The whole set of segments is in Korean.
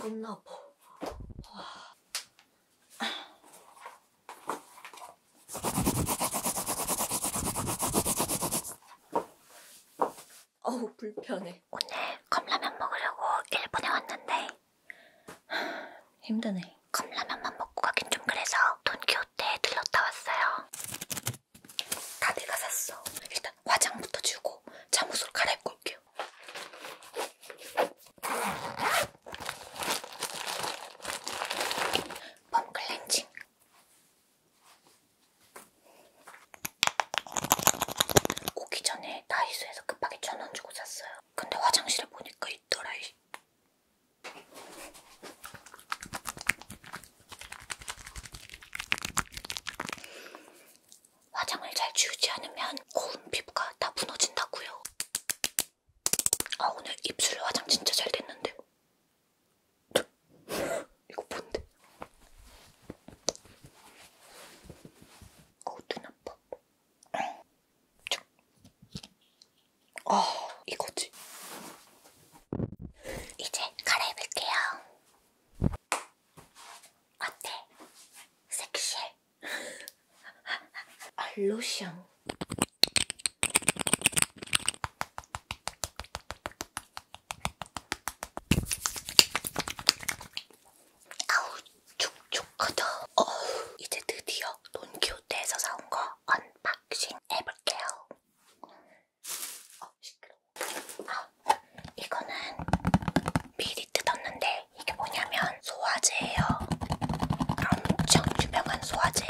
겁나 아파. 어우 불편해. 오늘 컵라면 먹으려고 일본에 왔는데 힘드네. 컵라면만 먹고 가긴 좀 그래서 돈키호테에 들렀다 왔어요. 다 내가 샀어. 일단 화장부터 주고 잠옷으로 갈아입고 올게요. 펌클렌징 오기 전에 다이소에서 급하게 천원 주고 샀어요. 근데 화장실에 보니까 있더라. 화장을 잘 지우지 않으면 고운 피부가 다 무너진다고요. 아 오늘 입술 화장 진짜 잘 됐는데 이거 뭔데? 어우 눈 아파 아 이거지 이제 갈아입을게요 어때? 섹시해? 알로시안 아, 아우 촉촉하다. 어우 이제 드디어 돈키호테에서 사온 거 언박싱 해볼게요. 어 시끄러워. 어, 이거는 미리 뜯었는데 이게 뭐냐면 소화제예요. 엄청 유명한 소화제.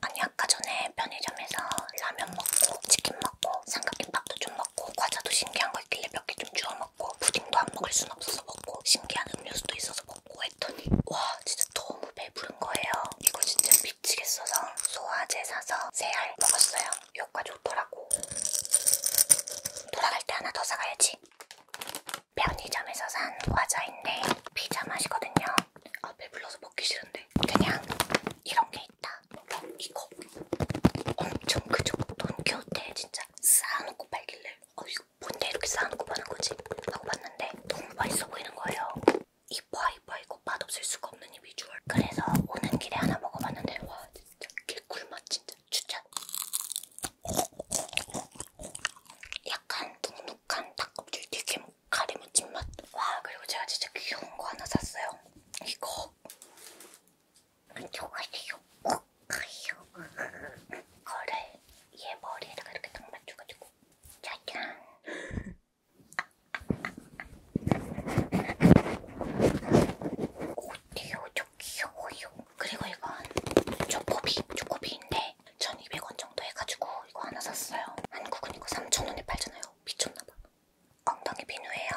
아니 아까 전에 편의점에서 라면 먹고 치킨 먹고 삼각김밥도 좀 먹고 과자도 신기한 거 있길래 몇 개 좀 주워 먹고 푸딩도 안 먹을 순 없어서 먹고 신기한 음료수도 있어서 먹고 했더니 와 진짜 너무 배부른 거예요. 이거 진짜 미치겠어서 소화제 사서 세 알 먹었어요. 효과 좋더라고. 돌아갈 때 하나 더 사가야지. 편의점에서 산 과자인데 피자 맛이거든요. 아 배불러서 먹기 싫은데 그냥 이런 게 있다. 그럼 이거 엄청 그저 돈키호테 진짜 쌓아놓고 팔길래 어 이거 뭔데 이렇게 쌓아놓고 파는 거지? 하고 봤는데 너무 맛있어 보이는 거예요. 이뻐 이뻐 이거 맛없을 수가 없는 이 비주얼. 그래서 오는 길에 하나 먹어봤는데 와 진짜 개꿀맛 진짜 추천. 약간 눅눅한 닭껍질 튀김 카리무침 맛. 와 그리고 제가 진짜 귀여운 거 하나 샀어요. 이거 안녕하세요. 먹어요. 거를 얘 머리에다가 이렇게 딱 맞춰가지고 짜잔. 어때요? 저 귀여워요. 그리고 이건 초코비, 초코비인데 1200원 정도 해가지고 이거 하나 샀어요. 한국은 이거 3,000원에 팔잖아요. 미쳤나봐. 엉덩이 비누예요.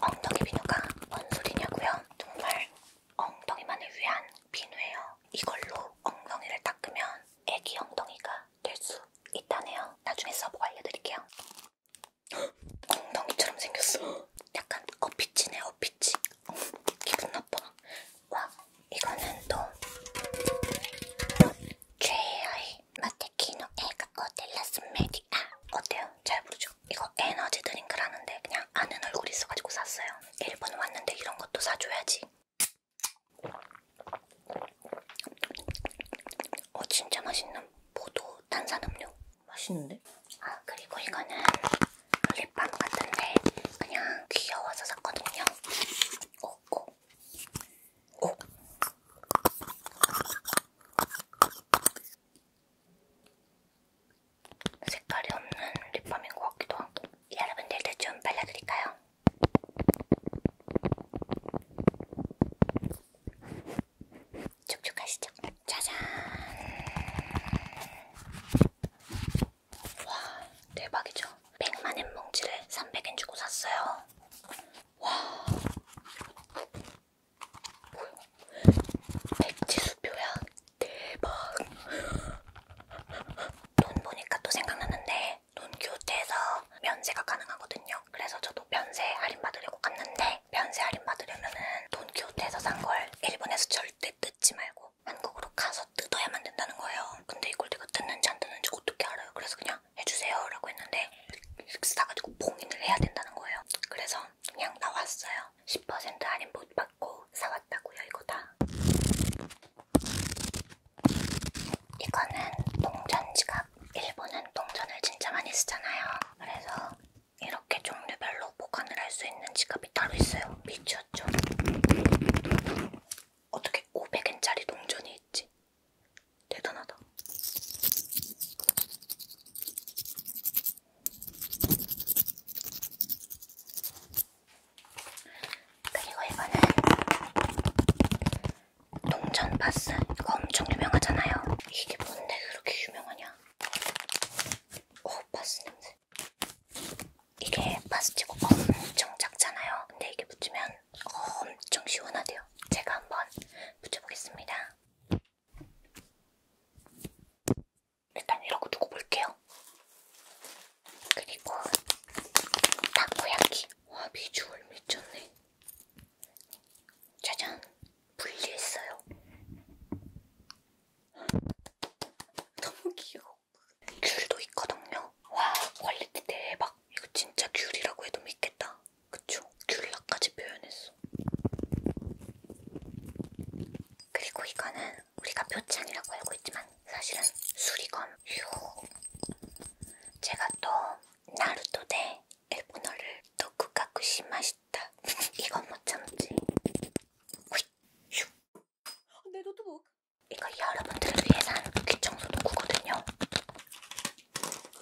엉덩이 비누가 뭔 소리냐고요? 정말 엉덩이만을 위한 비누예요. 이걸로 엉덩이를 닦으면 애기 엉덩이가 될 수 있다네요. 나중에 써보고 알려드릴게요. 엉덩이처럼 생겼어. 약간 어피치네 어피치. 어, 기분 나빠. 와, 이거는 또 최애의 마테키노 애가 어딜라스메디아 어때요? 잘 부르죠? 이거 에너지 드링크라는데 그냥 아는 얼굴 있어가지고 샀어요. 일본 왔는데 이런 것도 사줘야지. 어 진짜 맛있는 포도 탄산음료 맛있는데? 아 그리고 이거는 립밤 같은데 그냥 귀여워서 샀거든요. 오, 오, 오. 색깔이 없는 립밤인 것 같기도 하고 여러분들도 좀 발라드릴까요? 촉촉하시죠? 짜잔! 와 대박이죠 100만엔 뭉치를 300엔 주고 샀어요 와 뭐야 백지수표야 대박 돈 보니까 또 생각났는데 돈 교태에서 면세가 가능하거든요 그래서 저도 면세 할인 받으려고 갔는데 면세 할인 받으려면은 돈 교태에서 산 걸 일본에서 절대 뜯지 말고 아니고 한국으로 가서 뜯어야만 된다는 거예요. 근데 이걸 내가 뜯는지 안 뜯는지 어떻게 알아요? 그래서 그냥 해주세요 라고 했는데 사가지고 봉인을 해야 된다는 거예요. 그래서 그냥 나왔어요. 10% 할인 못 받고 사왔다고요 이거 다. 이거는 동전 지갑. 일본은 동전을 진짜 많이 쓰잖아요. 그래서 이렇게 종류별로 보관을 할 수 있는 지갑이 따로 있어요. 미쳤죠? 어떻게 500엔짜리 동전이 있지? 대단하다. 그리고 이거는 동전 바스. 이거 엄청 유명하잖아요. 이게 뭔데 그렇게 유명하냐? 오, 어, 바스 냄새. 이게 파스티고 엄청 작잖아요. 근데 이게 붙이면 엄청 시원하대요. 제가 한번 붙여보겠습니다. 일단 이러고 두고 볼게요. 그리고 타코야키. 와 비주얼 미쳤네. 짜잔. 분리했어요. 너무 귀여워. 귤도 있거든요. 와 퀄리티 대박. 이거 진짜 귤이라고 해도 믿겠다. 그쵸? 귤락까지 표현했어. 그리고 이거는 우리가 표창이라고 알고 있지만 사실은 수리검. 휴. 제가 또 나루토 대 일본어를 도쿠가쿠시 맛있다. 이건 못 참지. 휙. 휴. 내 노트북. 이거 여러분들을 위해서 하는 그 귀청소도구거든요.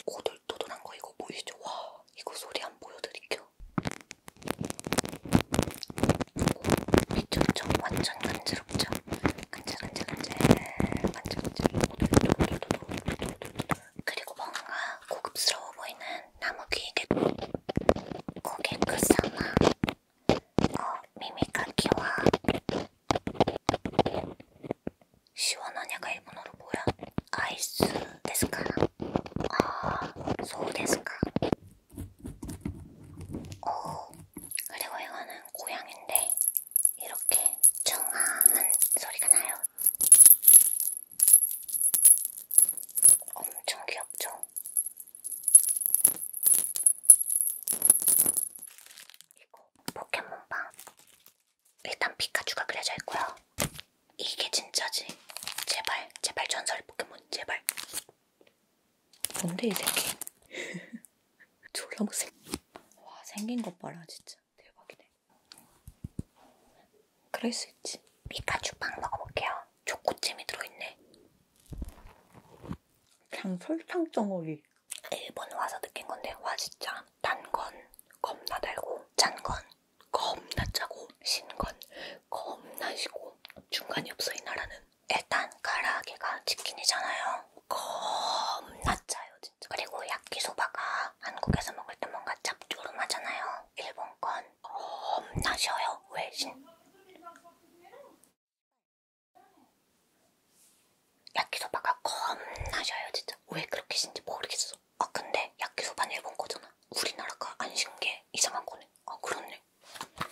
오돌토돌한 거 이거 보이시죠? 와 이거 소리 안 보여드릴게요. 미쳤죠? 완전 간지럽죠? 간질간질간질 간질간질 오돌토돌 그리고 뭔가 고급스러워 보이는 나무 귀에게 고개 끝사마 어, 미미 가키와 시원하냐가 일본어로 뭐야? 아이스 데스카. 아, 소우 데스카. 오, 그리고 이거는 고양인데 이렇게 청아한 소리가 나요. 엄청 귀엽죠? 이거 포켓몬빵 일단 피카츄가 그려져 있고요. 이게 진짜지. 제발 제발 전설 포켓몬 제발. 뭔데 이 새끼? 졸라 못생. 와 생긴 것 봐라 진짜 대박이네. 그럴 수 있지. 피카츄 빵 먹어볼게요. 초코잼이 들어있네. 그냥 설탕 덩어리. 일본 와서 느낀 건데 와 진짜 단건 겁나 달고 짠 건 겁나 짜고 신 건 겁나 시고 중간이 없어 이 나라는. 일단 가라아게가 치킨이잖아요. 겁나 짜요 진짜. 그리고 야끼소바가 한국에서 먹을 때 뭔가 짭조름하잖아요. 일본 건 겁나 쉬어요. 외신. 야끼소바가 겁나 셔요 진짜. 왜 그렇게 신지 모르겠어. 아 근데 야끼소바는 일본 거잖아. 우리나라가 안 신은 게 이상한 거네. 아 그렇네. 아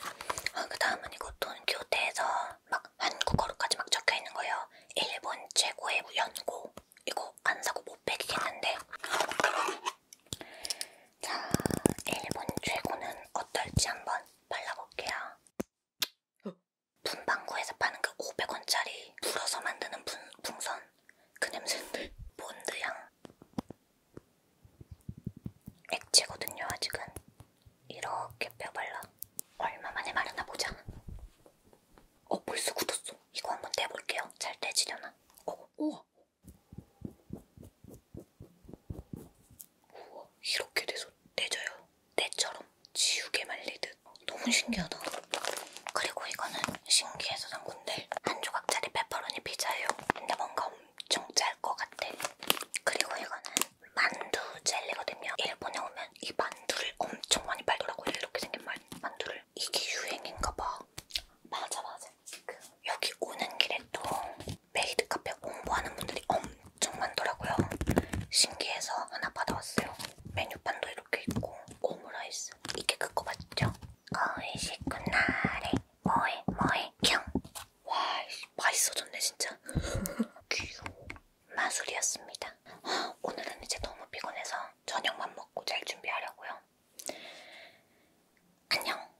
그 다음은 이것도는 교대에서 막 한국어로까지 막 적혀 있는 거예요. 일본 최고의 연고. 이거 안 사고 못 빼기겠는데. 자, 일본 최고는 어떨지 한번 발라볼게요. 분방구에서 파는 그 500원짜리 불어서 만드는 분, 풍선 그 냄새인데 본드향 액체거든요 아직은 이렇게 뼈 발라 얼마만에 마르나 보자 어 벌써 굳었어 이거 한 번 떼볼게요 잘 떼지려나 어, 우와 우와, 이렇게 돼서 떼져요. 때처럼 지우개 말리듯. 너무 신기하다. 그리고 이거는 신기해서 산 건데 한 조각짜리 페퍼로니 피자예요. 근데 뭔가 엄청 짤것 같아. 그리고 이거는 만두 젤리거든요. 일본에 오면 이 만두를 엄청 많이 팔더라고요. 이렇게 생긴 만두를. 이게 유행인가 봐. 맞아 맞아. 지금 여기 오는 길에 또 메이드 카페 홍보하는 분들이 엄청 많더라고요. 신기해서 하나 받아왔어요. 메뉴판도 이렇게 있고 오므라이스 이게 그거 맞죠? 거의 식구 날에 뭐해 뭐해 경. 와 맛있어졌네 진짜. 귀여워. 마술이었습니다. 오늘은 이제 너무 피곤해서 저녁만 먹고 잘 준비하려고요. 안녕.